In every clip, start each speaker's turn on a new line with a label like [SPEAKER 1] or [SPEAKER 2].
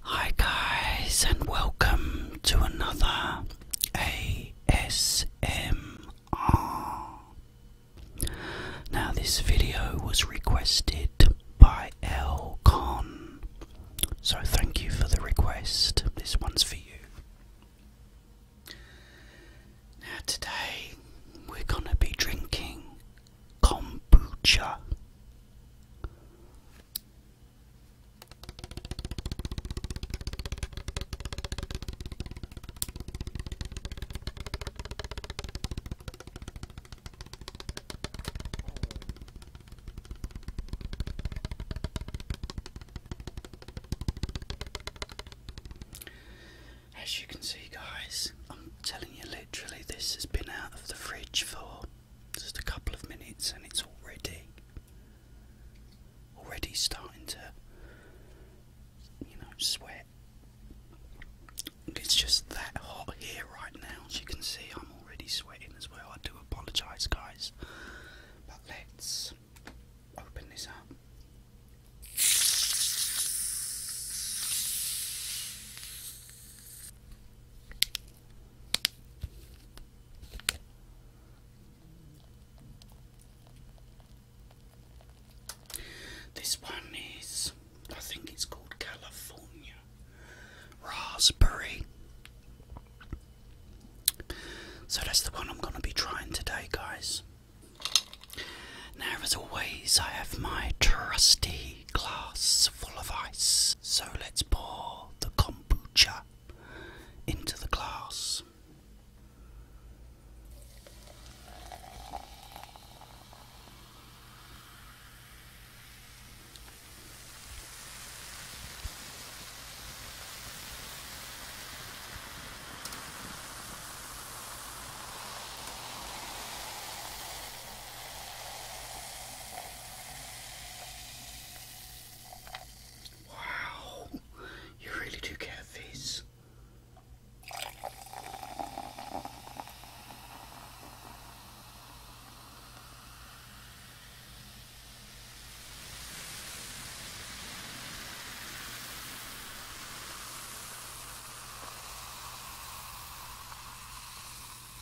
[SPEAKER 1] Hi guys and welcome to another ASMR. Now this video was requested by L Con. So thank you for the request. This one's for you. Now today we're going to be drinking kombucha. As you can see, guys, I'm telling you literally, this has been out of the fridge for just a couple of minutes and it's already already starting to you know sweat. It's just that hot here right now. As you can see, I'm already sweating as well. I do apologize, guys. But let's open this up. This one is, I think it's called California Raspberry. So that's the one I'm going to be trying today, guys. Now, as always, I have my trusty glass full of ice. So let's pour the kombucha into the glass. Wow, you really do get a fizz.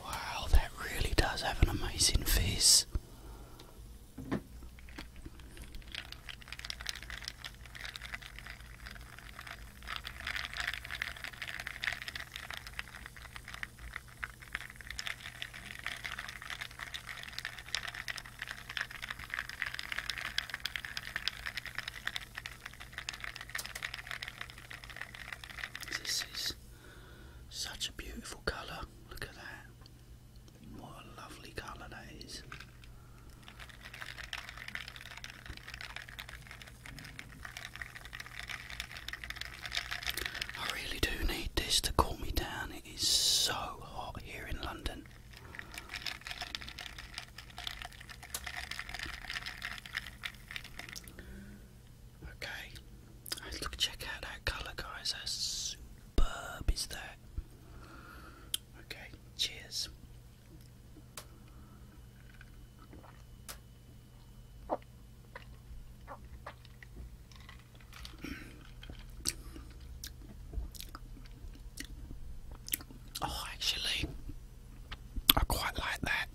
[SPEAKER 1] Wow, that really does have an amazing face. This is such a beautiful colour. Look at that. What a lovely colour that is. I really do need this to cool me down. It is so hot here in London. Okay, look, check out that colour, guys. How superb is that? Okay, cheers. Oh, actually, I quite like that.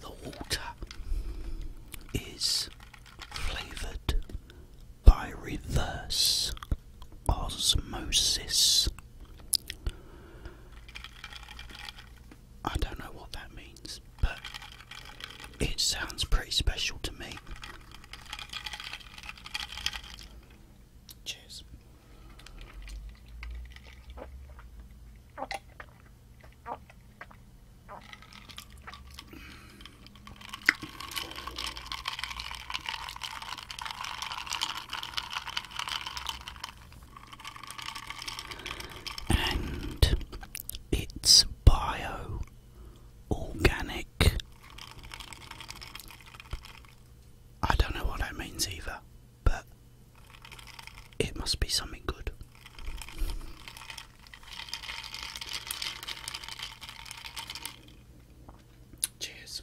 [SPEAKER 1] The water is flavoured by reverse osmosis. I don't know what that means, but it sounds pretty special to me. Cheers. And it's bio organic. I don't know what that means either, but it must be something good. Cheers.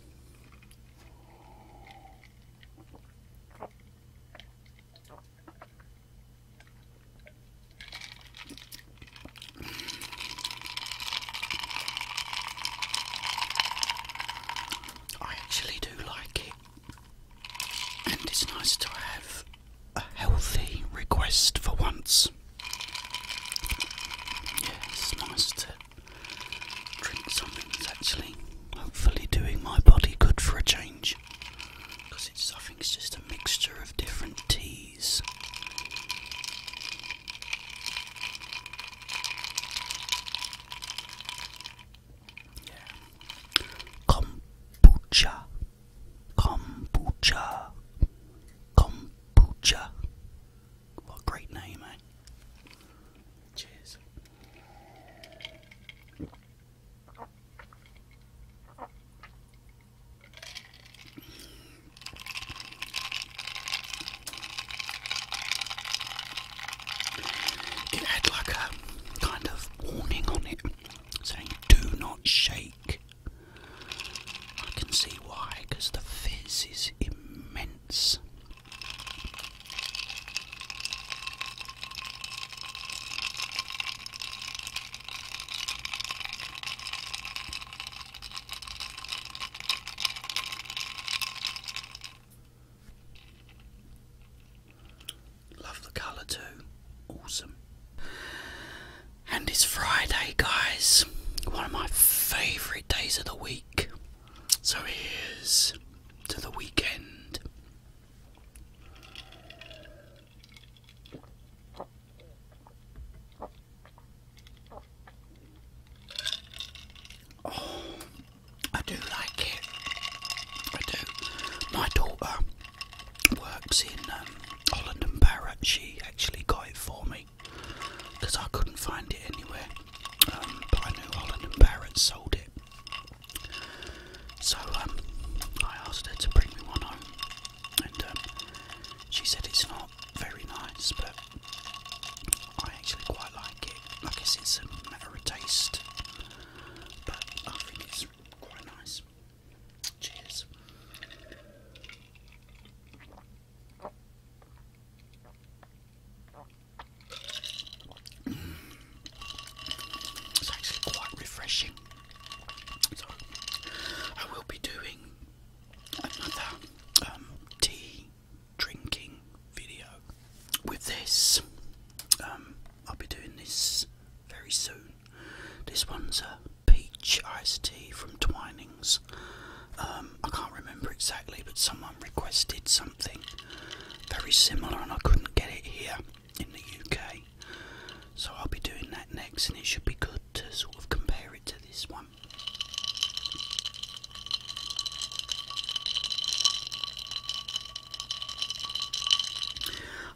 [SPEAKER 1] I actually do like it, and it's nice to have a healthy request for once. Yeah, it's nice to drink something that's actually hopefully doing my body good for a change. Because it's, I think it's just a mixture of different teas. Yeah. Kombucha. Kombucha. Kombucha. What a great name, eh? Cheers. It had like a kind of warning on it saying, do not shake I can see why, because the fizz is immense. Love the colour too. Awesome. And it's Friday, guys. One of my favourite days of the week. So here's to the weekend. Oh, I do like it. I do. My daughter works in um, Holland and Barrett. She actually got it for me because I couldn't find it anywhere. Um, but I knew Holland and Barrett sold it, so um, I asked her to bring me one home, and um, she said it's not very nice, but I actually quite like it. I guess it's a matter of taste, but I think it's quite nice. Cheers. It's actually quite refreshing. So I will be doing another um, tea drinking video with this. Um, I'll be doing this very soon. This one's a peach iced tea from Twining. Um, I can't remember exactly, but someone requested something very similar, and I couldn't get it here in the UK. So I'll be doing that next, and it should be good to sort of compare it to this one.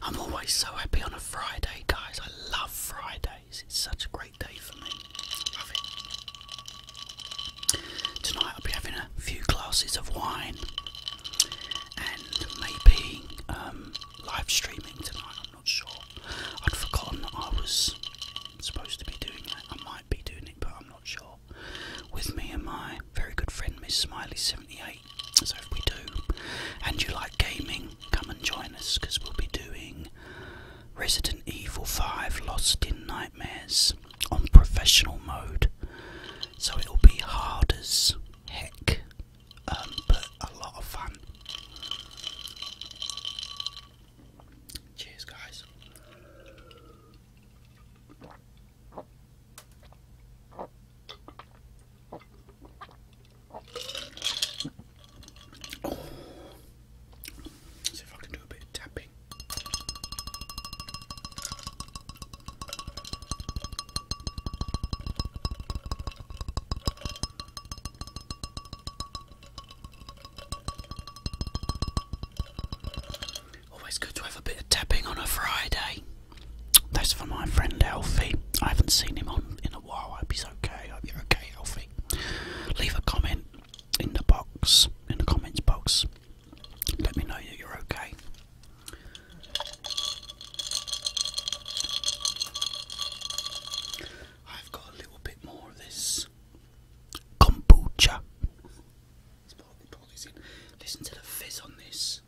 [SPEAKER 1] I'm always so happy on a Friday, guys. I love Fridays. It's such a great Tonight I'll be having a few glasses of wine and maybe um, live streaming tonight. I'm not sure. I'd forgotten that I was supposed to be doing that. I might be doing it, but I'm not sure. With me and my very good friend Miss Smiley78. So if we do, and you like gaming, come and join us because we'll be doing Resident Evil 5 Lost in Nightmares on professional mode. So it'll be hard as heck, um, but a lot of fun. Cheers, guys. See if I can do a bit of tapping. Always good to have a bit of tapping on a Friday. That's for my friend Alfie. I haven't seen him on in a while. I hope he's okay. I hope you're okay, Alfie. Leave a comment in the box, in the comments box. Let me know that you're okay. I've got a little bit more of this kombucha. Let's pour, pour this in. Listen to the fizz on this.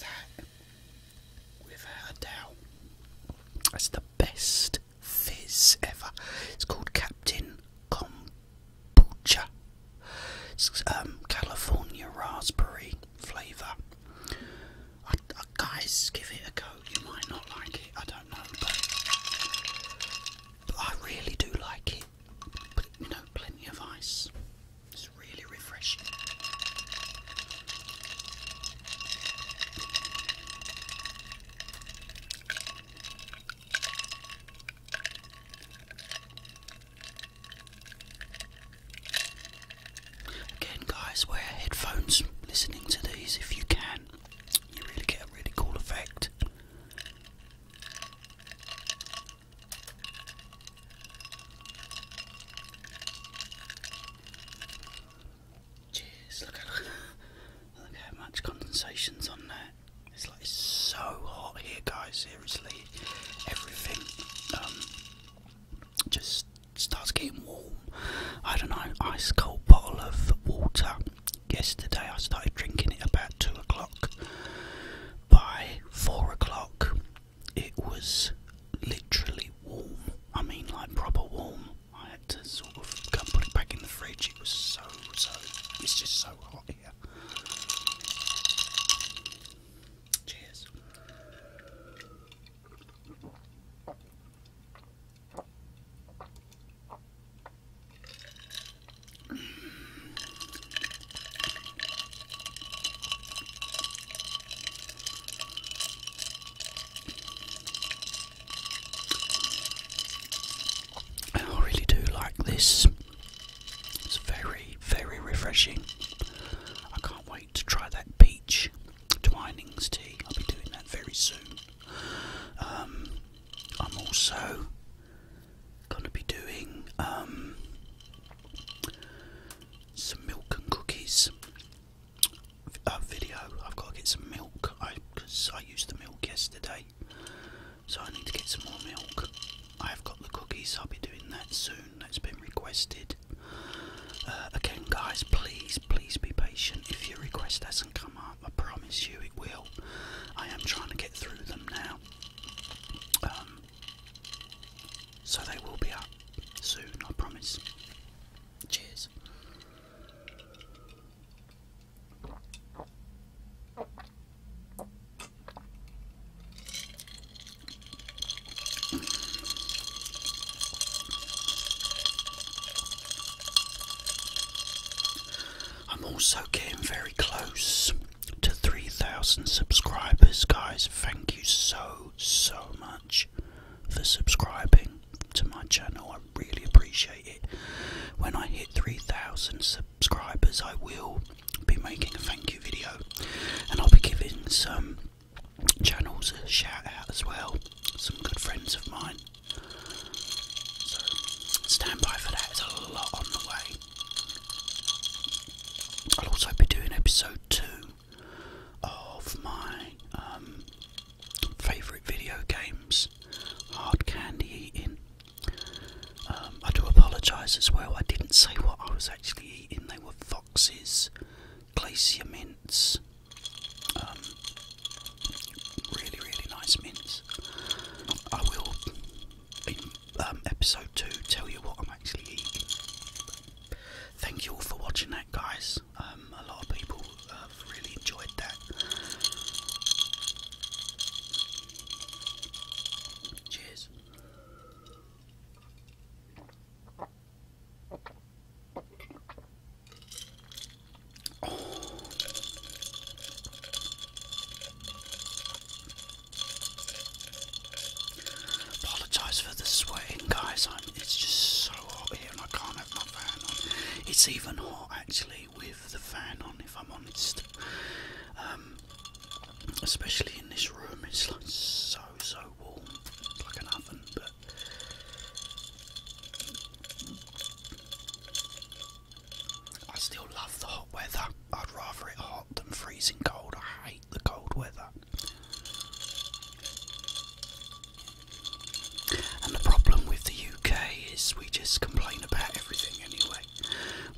[SPEAKER 1] That, without doubt, that's the best fizz ever. It's called Captain Kombucha. It's um, California raspberry flavour. guys, give it a go. Oh, you might not like it, I don't know, but, I really do like it. But you know, plenty of ice. It's really refreshing. Again, guys, wear headphones listening to these if you can you really get a really cool effect. Jeez, look at look how much condensation's on that. It's like so hot here, guys. Seriously, everything um, just starts getting warm. I don't know, ice cold bottle of water. Yesterday I started drinking it about two o'clock. By four o'clock, it was literally warm. I mean, like proper warm. I had to sort of go and put it back in the fridge. It was so, so, it's just so hot here. Cheers. I really do like this. It's very, very refreshing. I can't wait to try that peach. Twinings tea. I'll be doing that very soon. Um, I'm also going to be doing um, some milk and cookies uh, video. I've got to get some milk because I, used the milk yesterday, so I need to get some more milk. I've got the cookies. I'll be doing that soon. That's been requested. Uh, again, guys, please, please be patient. If your request hasn't come I promise you it will. I am trying to get through them now. Um, so they will be up soon, I promise. Cheers. I'm also getting very close to 3,000 subscribers, guys. Thank you so, so much for subscribing to my channel. I really appreciate it. When I hit 3,000 subscribers, I will be making a thank you video and I'll be giving some channels a shout out as well. Some good friends of mine so for that, there's a lot on the way. I'll also be doing episode 2 of my um, favourite video games hard candy eating. Um, I do apologise as well, I didn't say what I was actually eating, they were foxes, glacier mints. Um, really, really nice mints. I will, in um, episode 2, tell you what I'm actually eating. Thank you all for watching that, guys. Um, a lot of people have really enjoyed that. Cheers. Oh. Apologise for the sweating, guys. it's just so hot here, and I can't have my fan on. It's even hot actually with the fan on, if I'm honest. Um, especially in this room, it's like so so warm, like an oven. I still love the hot weather. I'd rather it hot than freezing cold. I hate the cold weather. And the problem with the UK is we just complain about everything anyway.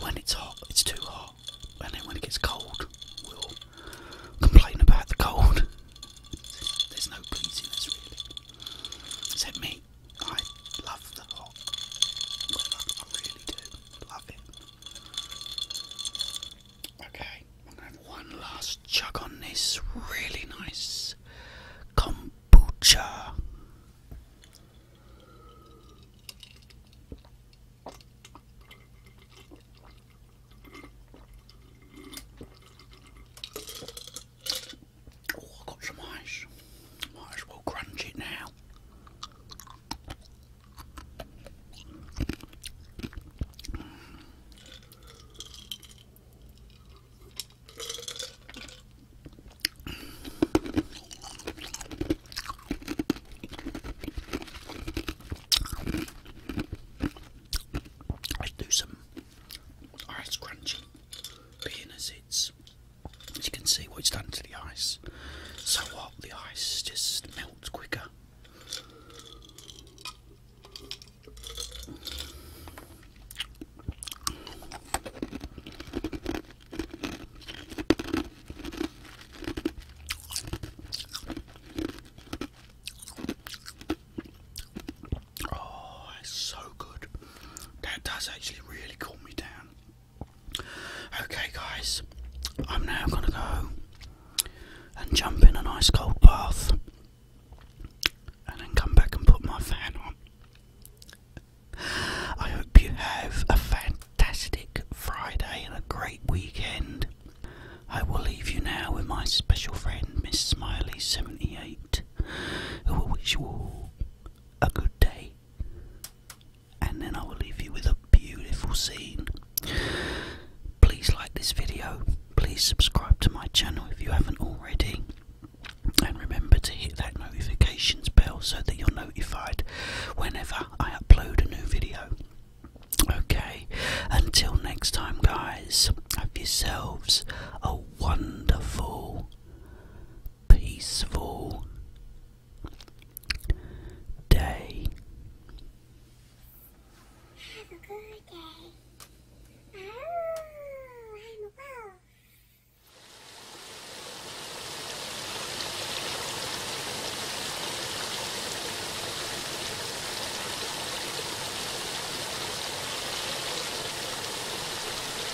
[SPEAKER 1] When it's hot, it's too hot. And then when it gets cold, we'll complain about the cold. There's no pleasing us really. Except me. I love the hot. I really do love it. Okay, I'm gonna one last chug on this really nice kombucha. Oh, I've got some ice. Might as well crunch it now. Let's do some ice crunchy, being as you can see what it's done to the ice. So what, the ice just melts quicker. Oh, that's so good. That does actually really cool me down. Okay, guys, I'm now going to go and jump in an ice cold bath and then come back and put my fan on. I hope you have a fantastic Friday and a great weekend. I will leave you now with my special friend, Miss Smiley78. I will wish you all a good day. And then I will leave you with a beautiful scene. Please like this video. Please subscribe to my channel if you haven't already. And remember to hit that notifications bell so that you're notified whenever I upload a new video. Okay, until next time, guys, have yourselves a wonderful peaceful day. Have a good day. Oh, I'm a